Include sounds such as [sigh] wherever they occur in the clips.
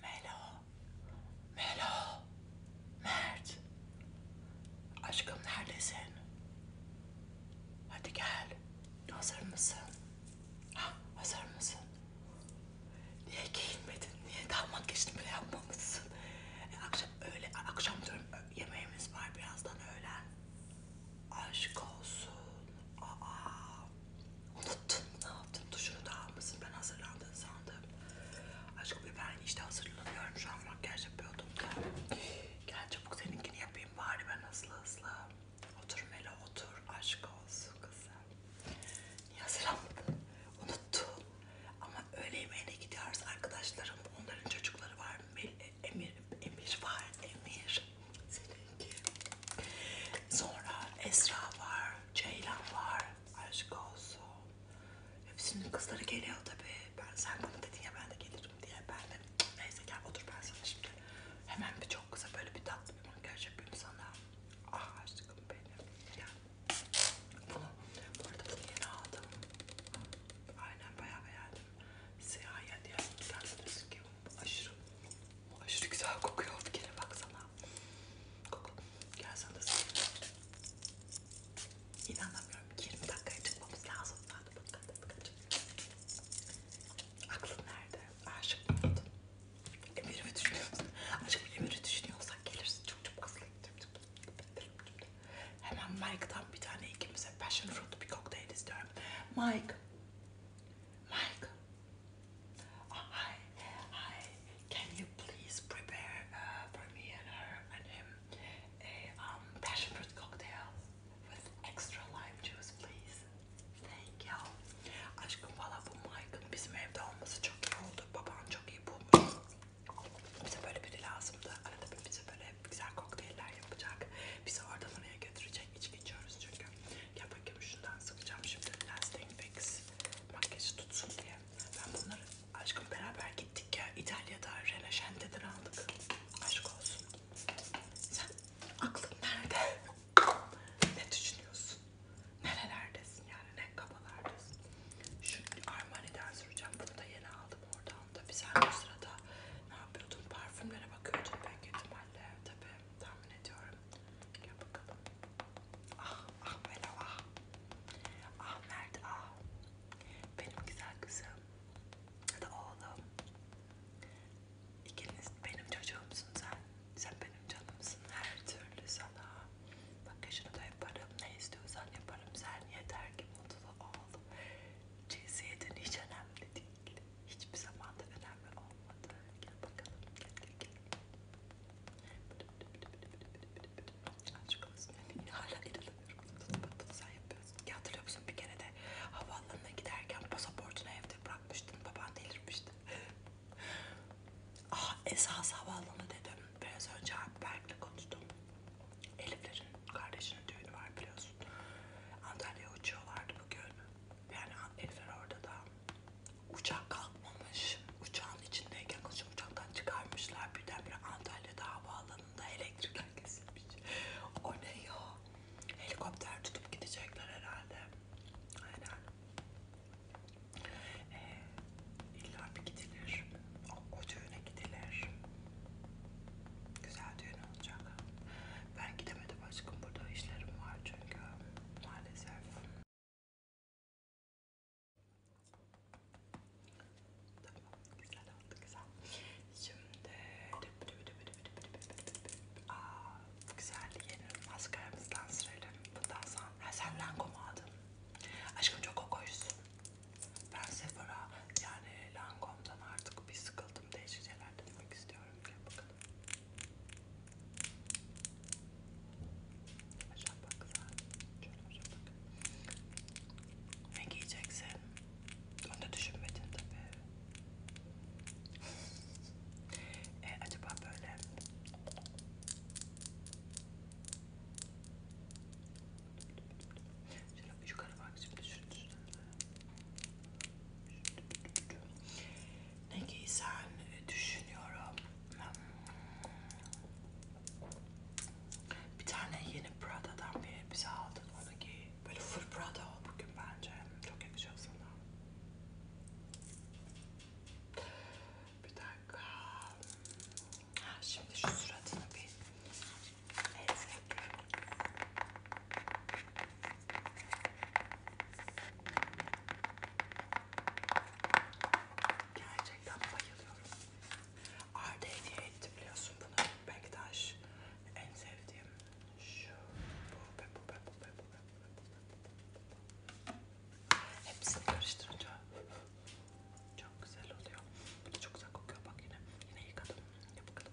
Melo, Melo, Mert. Aşkım neredesin? Hadi gel. Hazır mısın? Ha, hazır mısın? Niye giyinmedin? Niye daha makyajını bile yapmamışsın? E, akşam öyle akşam diyorum yemeğimiz var birazdan öğlen. Aşk olsun. Aa. Unuttun ne yaptın? Tuşunu da almışsın. Ben hazırlandığını sandım. Aşkım ben işte hazırlanıyorum. Şu an makyaj yapıyordum da. Gel çabuk seninkini yapayım bari ben hızlı hızlı. Otur Mela otur. Aşk olsun kızım. Niye hazırlanmadın? Unuttum. Ama öğle yemeğine gidiyoruz arkadaşlarım. Onların çocukları var. Mel Emir, Emir var. Emir. Seninki. Sonra Esra var. Ceylan var aşk olsun. Hepsinin kızları geliyor tabii. Ben sen bana dedin ya ben de gelirim diye. Ben de neyse gel otur ben sana şimdi. Hemen bir çok kısa böyle bir tatlı bir makyaj yapayım sana. Ah aşkım benim. Gel. Bunu, bu arada bunu yeni aldım. Aynen bayağı beğendim. Siyah ya diye. Dersiniz ki aşırı aşırı güzel kokuyor. Bir kere baksana. Koku. Gel sana da sıkayım. İnanamıyorum. 20 dakikaya çıkmamız lazım. Hadi bakalım. Hadi bakalım. Aklın nerede? Aşık mı oldun? Emir'i mi düşünüyorsun? Aşkım Emir'i düşünüyorsan gelirsin. Çok çok hızlı. Hemen Mike'dan bir tane ikimize passion fruit bir kokteyl istiyorum. Mike. Mike. Uh, hi, hi. Can you please prepare uh, for me and her and him a um, passion fruit cocktail with extra lime juice, please? Thank you. Aşkım valla bu Michael bizim evde olması çok iyi oldu. Baban çok iyi bulmuş. Bize böyle biri lazımdı. Arada bir bize böyle güzel kokteyller yapacak. Bizi oradan oraya götürecek. İçki içiyoruz çünkü. Gel bakayım şundan sıkacağım şimdi. Lasting Fix makyajı tutsun diye. Ben bunları aşkım beraber gittik ya İtalya'da Releşente'den aldık. Aşk olsun. Sen aklın nerede? ne düşünüyorsun? Nerelerdesin yani? Ne kabalardasın? Şu Armani'den süreceğim. Bunu da yeni aldım oradan da. Bir sen bu sırada ne yapıyordun? Parfümlere bakıyordun belki ihtimalle. Tabii tahmin ediyorum. Gel bakalım. Ah, ah Melo ah. Ah Mert ah. Benim güzel kızım. Ya da oğlum. İkiniz benim çocuğumsun sen. Sen benim canımsın her türlü sana. Bakışını da yaparım. Ne istiyorsan yaparım. Sen yeter ki mutlu ol. Cinsiyetin hiç önemli değil. Hiçbir zaman da önemli olmadı. Gel bakalım. Gel gel gel. Aşkımızın önüne hala erilamıyorum. Bunu sen yapıyorsun. Ya hatırlıyor musun bir kere de havaalanına giderken pasaportunu evde bırakmıştın. Baban delirmişti. Ah esas havaalanı dedim. Biraz önce Alpberk'le konuştum. Elif'lerin kardeşinin düğünü var biliyorsun. Antalya'ya uçuyorlardı bugün. Yani Elif'ler orada da. Uçak kalkmamış. Uçağın içindeyken kızı uçaktan çıkarmışlar. Birdenbire Antalya'da havaalanında elektrikler [laughs] kesilmiş. O ne ya? Helikopter tutup gidecekler herhalde. Aynen. Ee, İlla bir gidilir. O, o düğüne gidilir. Güzel düğün olacak. Ben gidemedim aşkım. Burada işlerim var çünkü. Maalesef. Tamam güzel oldu güzel. Şimdi Aa, güzel yeni maskaramızdan sürelim. Bundan sonra sen Lanko mu aldın? Aşkım çok kokoşsun. Ben Sephora yani Lancome'dan artık bir sıkıldım değişik şeyler denemek istiyorum. Gel bakalım. Başak bak güzel. Şöyle başak bak. Ne giyeceksin? Onu da düşünmedin tabii. e, acaba böyle... Şöyle yukarı bak şimdi şunun üstüne. Ne giysen e, düşünüyorum. Bir tane yeni Prada'dan bir elbise aldım. Onu giy. Böyle full Prada ol bugün bence. Çok yakışıyor sana. Bir dakika. Ha, şimdi şu suratını bir ezek. Gerçekten bayılıyorum. Arda hediye etti biliyorsun bunu. Bektaş en sevdiğim şu. Bu, bu, bu, bu, bu, bu, bu. Hepsini karıştırınca çok güzel oluyor. Bu da çok güzel kokuyor bak yine. Yine yıkadım. Yap bakalım.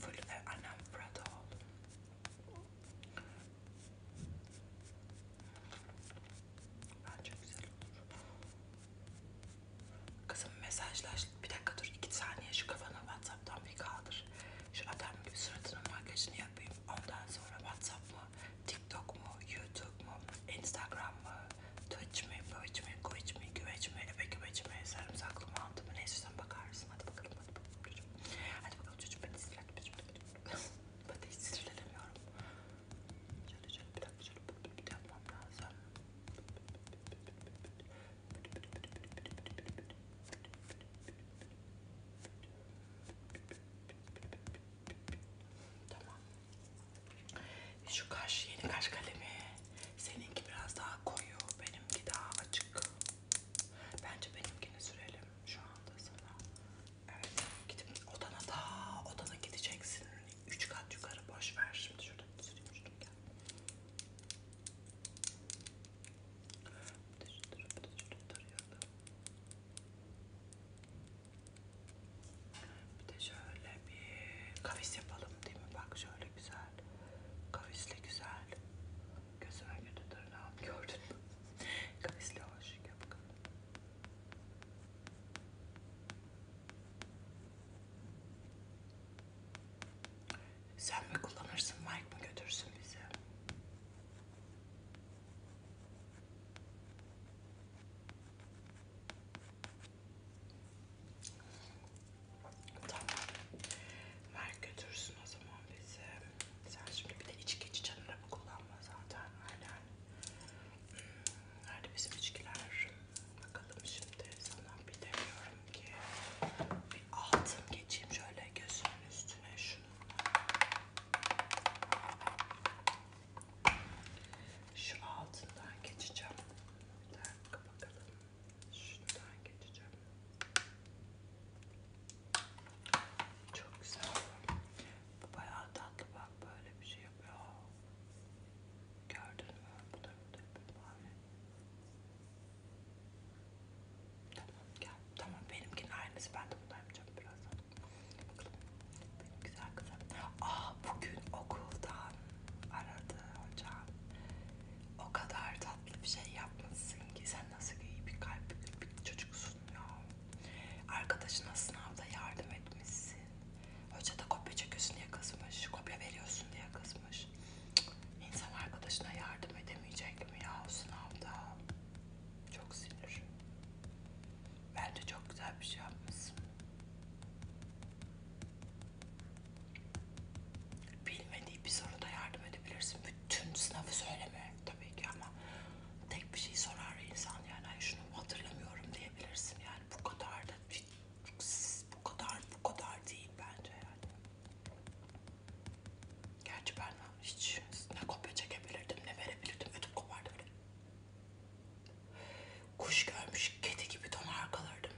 Full ve annem burada oldu. Bence güzel olur. Kızım mesajlaş. Bir dakika dur. iki saniye şu kafanı Whatsapp'tan bir kaldır. Şu adam gibi suratının makyajını yapayım. Ondan sonra Whatsapp mı, TikTok mu, YouTube mu, Instagram mı, Taçme, böçme, güveçme, güveçme, eve güveçme, sarımsaklı mantı mı? Neyse sen bakarsın. Hadi bakalım, hadi bakalım çocuğum. Hadi bakalım çocuğum, ben sinirlendim. ben de hiç sinirlenemiyorum. Şöyle şöyle bir dakika, şöyle bir, bir, bir yapmam lazım. Tamam. Şu kaş, yeni kaş kalemi. Seninki biraz daha koyu, benimki daha açık. Bence benimkini sürelim şu anda sana. Evet, gidip odana da, odana gideceksin. Üç kat yukarı boş ver şimdi şuradan süreyim şuradan gel. Bir de şöyle bir kavis yapalım değil mi? Bak şöyle güzel güzel. Kavisli güzel. Gözüme göre tırnağım gördün mü? [laughs] Kavisli hoş yapın. Sen mi kullanırsın, Mike mı götürsün bizi? Tamam. Ver götürsün o zaman bizi. Sen şimdi bir de içki içen araba kullanma zaten. Aynen. Nerede bizim içkiler? Bakalım şimdi sana bir de diyorum ki bir altın geçeyim şöyle gözünün üstüne şunu. Şu altından geçeceğim. Bir dakika bakalım. Şuradan geçeceğim. Çok güzel. Bu bayağı tatlı bak böyle bir şey yapıyor. Gördün mü? Bu da bir mavi. Tamam gel. Tamam benimkinin aynısı. Ben de bunu yapacağım birazdan. Bakalım. Benim güzel kızım. Aa bugün okuldan aradı hocam. O kadar tatlı bir şey yapmışsın ki sen nasıl iyi bir kalpli bir çocuksun ya. Arkadaşına sınavda yardım etmişsin. Hoca da kopya çekiyorsun diye kızmış. Kopya veriyorsun diye kızmış. Cık. İnsan arkadaşına yardım edemeyecek mi ya o sınavda? Çok sinir. Bence çok güzel bir şey yapmışsın. Bilmediği bir soruda yardım edebilirsin. Bütün sınavı söyleme tabii ki ama tek bir şey sorar insan yani Ay şunu hatırlamıyorum diyebilirsin yani bu kadar da bu kadar bu kadar değil bence yani. Gerçi ben hiç ne kopya çekebilirdim ne verebilirdim ödüm kopardı öyle. Kuş görmüş kedi gibi donar kalırdım.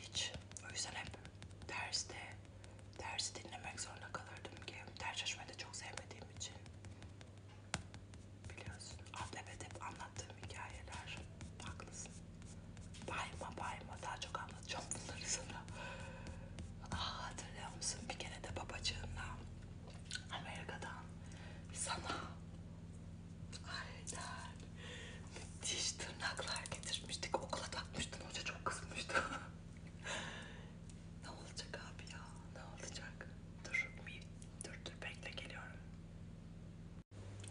Hiç. O yüzden hep derste, dersi dinlemek zorunda kalırdım ki. Ders çalışmayı da çok sevmediğim için. Biliyorsun. Antep'te hep anlattığım hikayeler. Haklısın. Bayma bayma daha çok anlatacağım bunları sana. Aa, ah, hatırlıyor musun? Bir kere de babacığımla Amerika'dan sana Aynen. Müthiş tırnaklar getirmiştik. Okula takmıştın. Hoca çok kızmıştı. [laughs] ne olacak abi ya? Ne olacak? Dur, bir, dur, dur. Bekle geliyorum.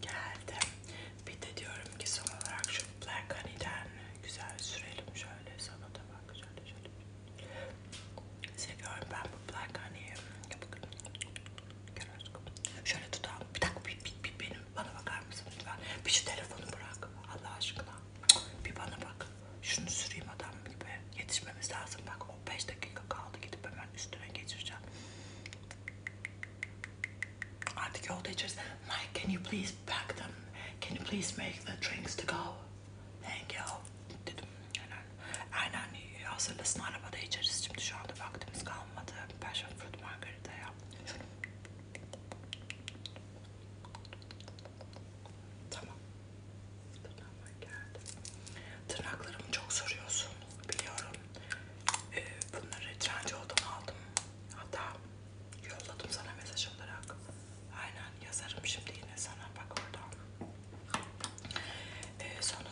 Geldim. Bir de diyorum ki son olarak şu Black Honey'den güzel sürelim şöyle. Sana da bak şöyle şöyle. Seviyorum ben bu Black Honey'i. Bakın. Görüyoruz kapıyı. Şöyle tutalım. Bir dakika bir, bir, bir benim bana bakar mısın lütfen? Bir şu telefonu bırak Allah aşkına. Bir bana bak. Şunu süreyim adam gibi. Yetişmemiz lazım bak. O 5 dakika kaldı gidip hemen üstüne geçireceğim. Artık yolda içeriz. Mike can you please pack them? Can you please make the drinks to go? Thank you. Dedim. Aynen. Aynen yani hazırlasın arabada içeriz. Şimdi şu anda vaktimiz kalmadı. Passion fruit margarita yap. Tamam. Tırnağıma geldi. Tırnaklarımı çok soruyorsun. Biliyorum. Ee, bunları trenci oldum aldım. Hatta yolladım sana mesaj olarak. Aynen yazarım şimdi yine sana. Bak oradan. Ee, sonra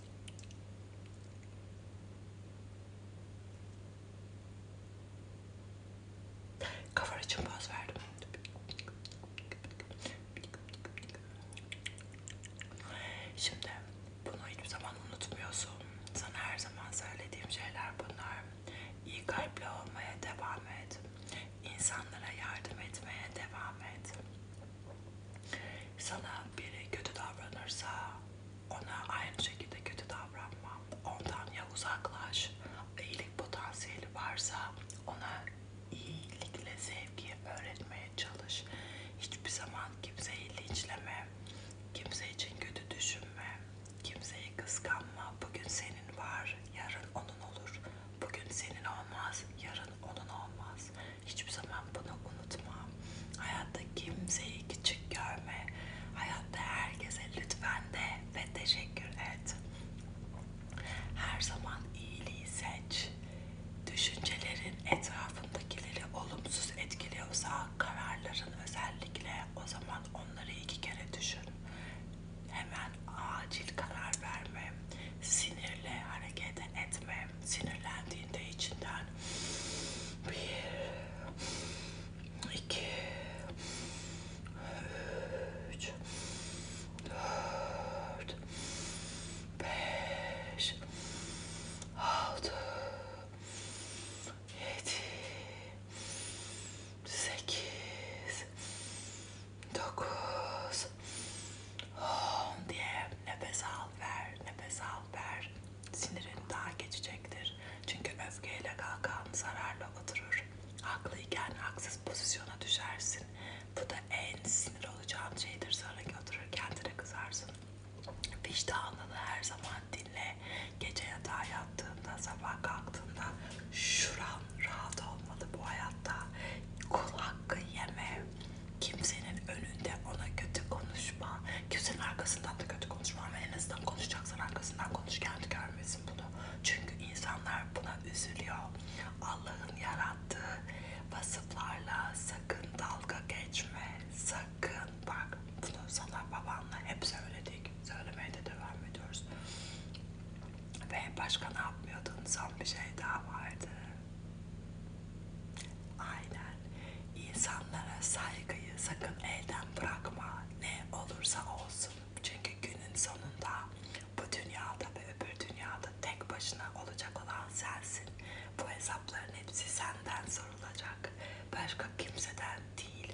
Kafar için boz verdim. Şimdi bunu hiçbir zaman unutmuyorsun. Sana her zaman söylediğim şeyler bunlar. İyi kalple olmaya devam et. İnsanlara yardım etmeye devam et. Sana biri kötü davranırsa ona aynı şekilde kötü davranma. Ondan ya uzaklaş, iyilik potansiyeli varsa ona iyilikle sevgiyi öğretmeye çalış. Hiçbir zaman kimseyi linçleme, kimse için kötü düşünme, kimseyi kıskanma. Bugün senin var, yarın onun olur. Bugün senin olmaz, yarın onun olmaz. Hiçbir zaman bunu unutma. Hayatta kimseyi küçük görme. Hayatta herkese lütfen de ve teşekkür et. Her zaman iyiliği seç. Düşüncelerin etrafındakileri olumsuz etkiliyorsa kararların özellikle o zaman onları iki kere düşün. Hemen acil karar verme. Sinirle hareket ya da etme sinirlendiğinde içinden bir iki üç dört beş altı yedi sekiz dokuz Ah, diye nefes al ver, nefes al ver. Sinirin daha geçecektir. Çünkü öfkeyle kalkan zararla oturur. Haklıyken haksız pozisyona düşersin. Bu da en sinir olacağın şeydir. Sonra oturur kendine kızarsın. Vicdanını her zaman dinle. Gece yatağa yattığında, sabah kalktığında şuran rahat olmalı bu hayatta. Kul hakkı yeme kimsenin önünde ona kötü konuşma. Kimsenin arkasından da kötü konuşma ama en azından konuşacaksan arkasından konuş kendi görmesin bunu. Çünkü insanlar buna üzülüyor. Allah'ın yarattığı vasıflarla sakın dalga geçme. Sakın bak bunu sana babanla hep söyledik. Söylemeye de devam ediyoruz. Ve başka ne yapmıyordun? Son bir şey daha vardı. Aynen. İnsanlara saygıyı sakın elden bırakma. Ne olursa olsun. Çünkü günün sonunda bu dünyada ve öbür dünyada tek başına olacak olan sensin. Bu hesapların hepsi senden sorulacak. Başka kimseden değil.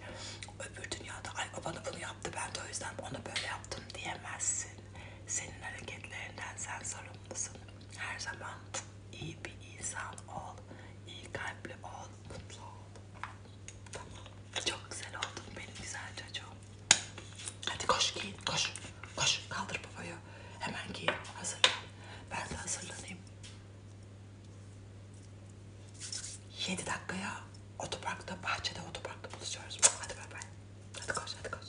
Öbür dünyada ay o bana bunu yaptı ben de o yüzden ona böyle yaptım diyemezsin. Senin hareketlerinden sen sorumlusun. Her zaman iyi bir insan ol, iyi kalpli ol, mutlu ol. Tamam. Çok güzel oldun benim güzel çocuğum. Hadi koş giyin, koş. Koş, kaldır babayı. Hemen giyin, hazırlan. Ben de hazırlanayım. 7 dakikaya otoparkta, bahçede otoparkta buluşuyoruz. Hadi bay bay. Hadi koş, hadi koş.